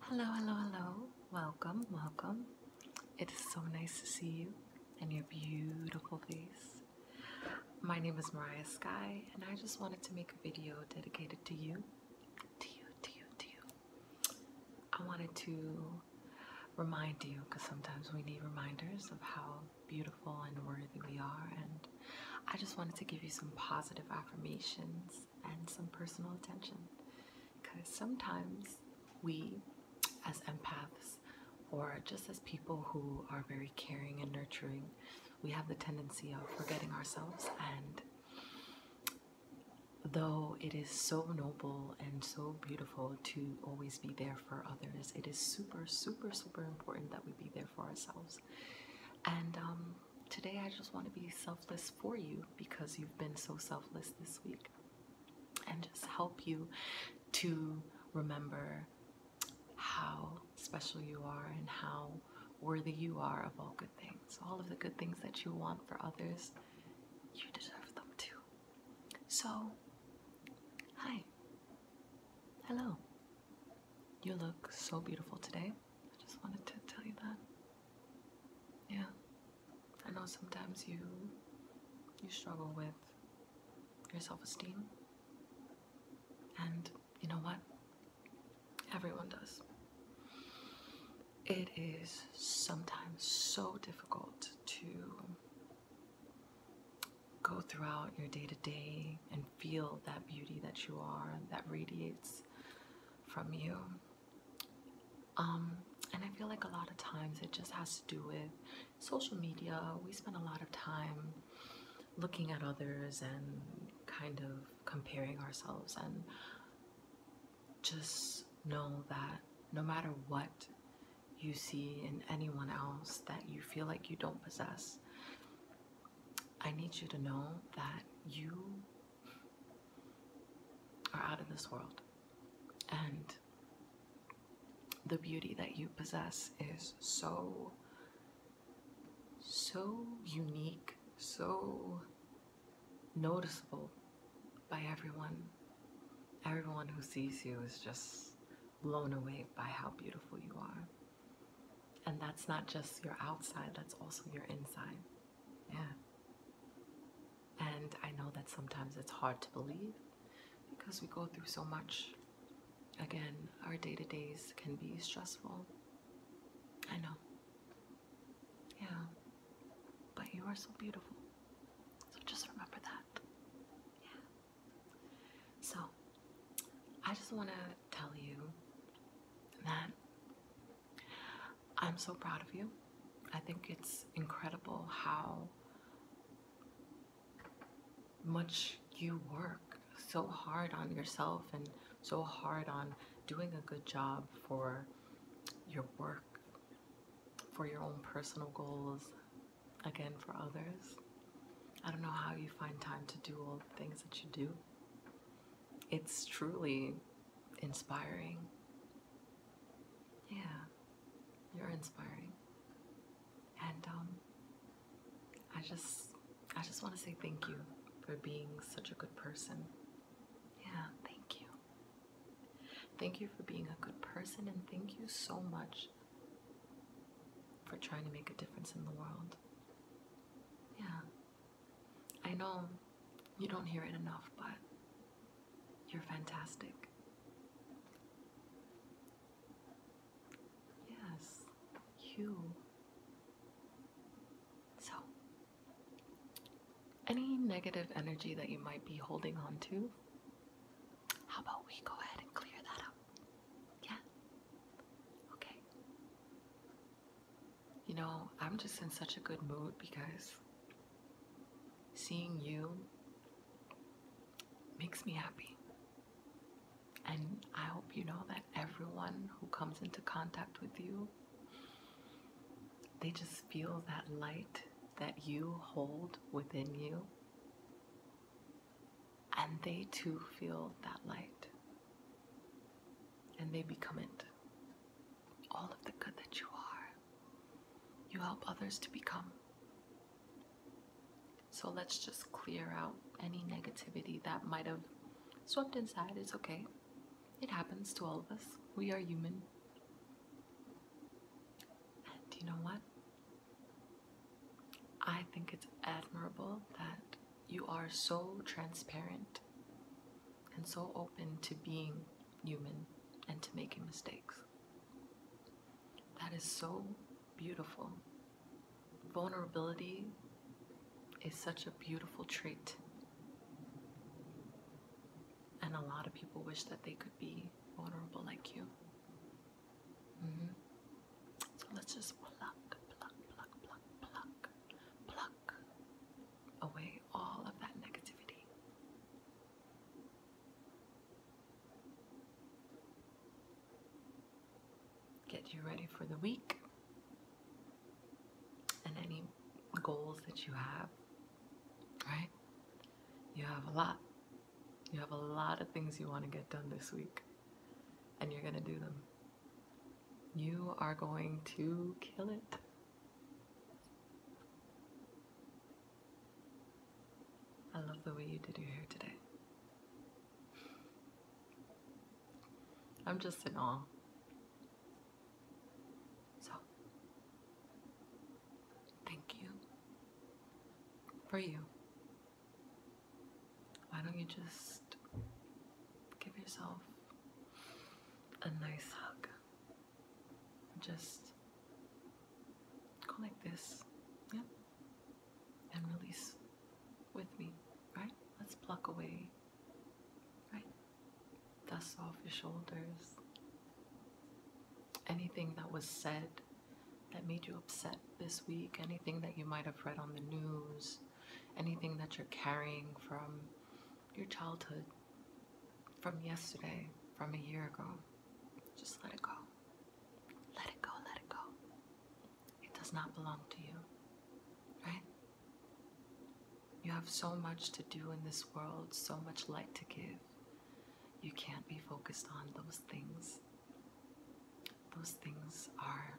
Hello, hello, hello. Welcome, welcome. It is so nice to see you and your beautiful face. My name is Mariah Sky, and I just wanted to make a video dedicated to you. To you, to you, to you. I wanted to remind you because sometimes we need reminders of how beautiful and worthy we are, and I just wanted to give you some positive affirmations and some personal attention because sometimes we as empaths or just as people who are very caring and nurturing we have the tendency of forgetting ourselves and though it is so noble and so beautiful to always be there for others it is super super super important that we be there for ourselves and um, today I just want to be selfless for you because you've been so selfless this week and just help you to remember how special you are and how worthy you are of all good things. All of the good things that you want for others, you deserve them too. So, hi. Hello. You look so beautiful today. I just wanted to tell you that. Yeah. I know sometimes you you struggle with your self-esteem. And you know what? Everyone does. It is sometimes so difficult to go throughout your day to day and feel that beauty that you are, that radiates from you. Um, and I feel like a lot of times it just has to do with social media. We spend a lot of time looking at others and kind of comparing ourselves, and just know that no matter what you see in anyone else that you feel like you don't possess, I need you to know that you are out in this world. And the beauty that you possess is so, so unique, so noticeable by everyone. Everyone who sees you is just blown away by how beautiful you are. And that's not just your outside, that's also your inside. Yeah. And I know that sometimes it's hard to believe because we go through so much. Again, our day to days can be stressful. I know. Yeah. But you are so beautiful. So just remember that. Yeah. So, I just want to tell you that I'm so proud of you. I think it's incredible how much you work so hard on yourself and so hard on doing a good job for your work, for your own personal goals, again for others. I don't know how you find time to do all the things that you do. It's truly inspiring. Yeah, you're inspiring. And um, I just, I just want to say thank you for being such a good person. Yeah, thank you. Thank you for being a good person, and thank you so much for trying to make a difference in the world. Yeah. I know you don't hear it enough, but you're fantastic. Yes, you. So, any negative energy that you might be holding on to, how about we go ahead and clear that up? Yeah? Okay. You know, I'm just in such a good mood because seeing you makes me happy. And I hope you know that everyone who comes into contact with you, they just feel that light that you hold within you and they too feel that light. And they become it. All of the good that you are, you help others to become. So let's just clear out any negativity that might have swept inside. It's okay. It happens to all of us. We are human. And you know what? I think it's admirable that you are so transparent and so open to being human and to making mistakes. That is so beautiful. Vulnerability is such a beautiful trait and a lot of people wish that they could be vulnerable like you. Mm-hmm. So let's just pluck, pluck, pluck, pluck, pluck, pluck away all of that negativity. Get you ready for the week and any goals that you have Right? You have a lot. You have a lot of things you want to get done this week, and you're going to do them. You are going to kill it. I love the way you did your hair today. I'm just in awe. So, thank you for you. Why don't you just give yourself a nice hug? Just go like this, yeah, and release with me, right? Let's pluck away Right? Dust off your shoulders. Anything that was said that made you upset this week, anything that you might have read on the news, anything that you're carrying from your childhood, from yesterday, from a year ago, just let it go. Let it go, let it go. It does not belong to you, right? You have so much to do in this world, so much light to give. You can't be focused on those things. Those things are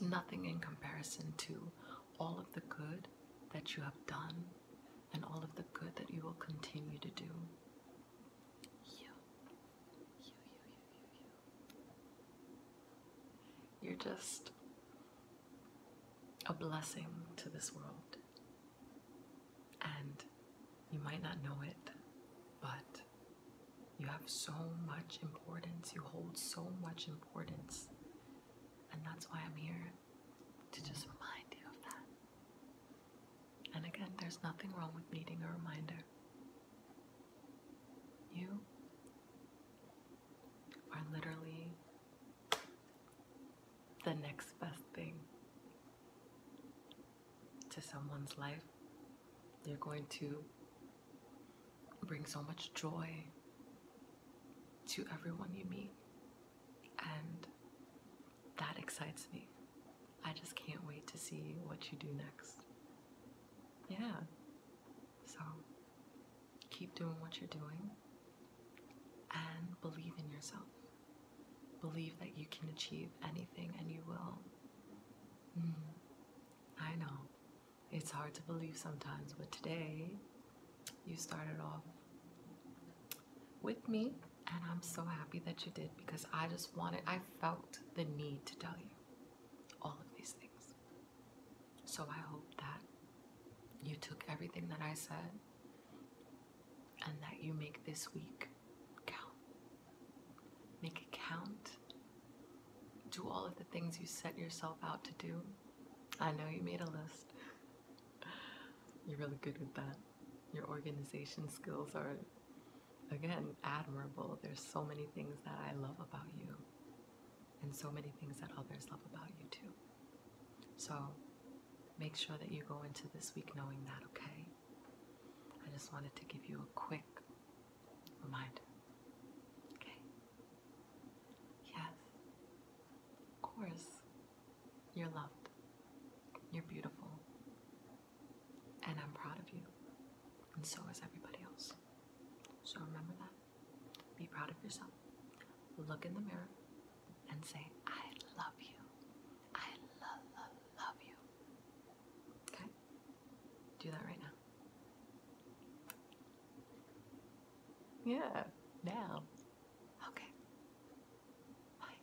nothing in comparison to all of the good that you have done and all of the good that you will continue to do. You, you, you, you, you, you. You're just a blessing to this world. And you might not know it, but you have so much importance. You hold so much importance. And that's why I'm here to just remind you of that. And again, there's nothing wrong with needing a reminder. You are literally the next best thing to someone's life. You're going to bring so much joy to everyone you meet. And that excites me. I just can't wait to see what you do next. Yeah. So keep doing what you're doing and believe in yourself. Believe that you can achieve anything and you will. Mm-hmm. I know it's hard to believe sometimes, but today you started off with me, and I'm so happy that you did because I just wanted, I felt the need to tell you all of these things. So I hope that you took everything that I said and that you make this week count. Make it count. Do all of the things you set yourself out to do. I know you made a list. You're really good with that. Your organization skills are again, admirable. There's so many things that I love about you, and so many things that others love about you too. So make sure that you go into this week knowing that, okay? I just wanted to give you a quick reminder. Okay? Yes. Of course, you're loved, you're beautiful, and I'm proud of you. And so is everybody else. So remember that. Be proud of yourself. Look in the mirror and say, I love you. I love, love, love you. Okay? Do that right now. Yeah, now. Okay. Bye.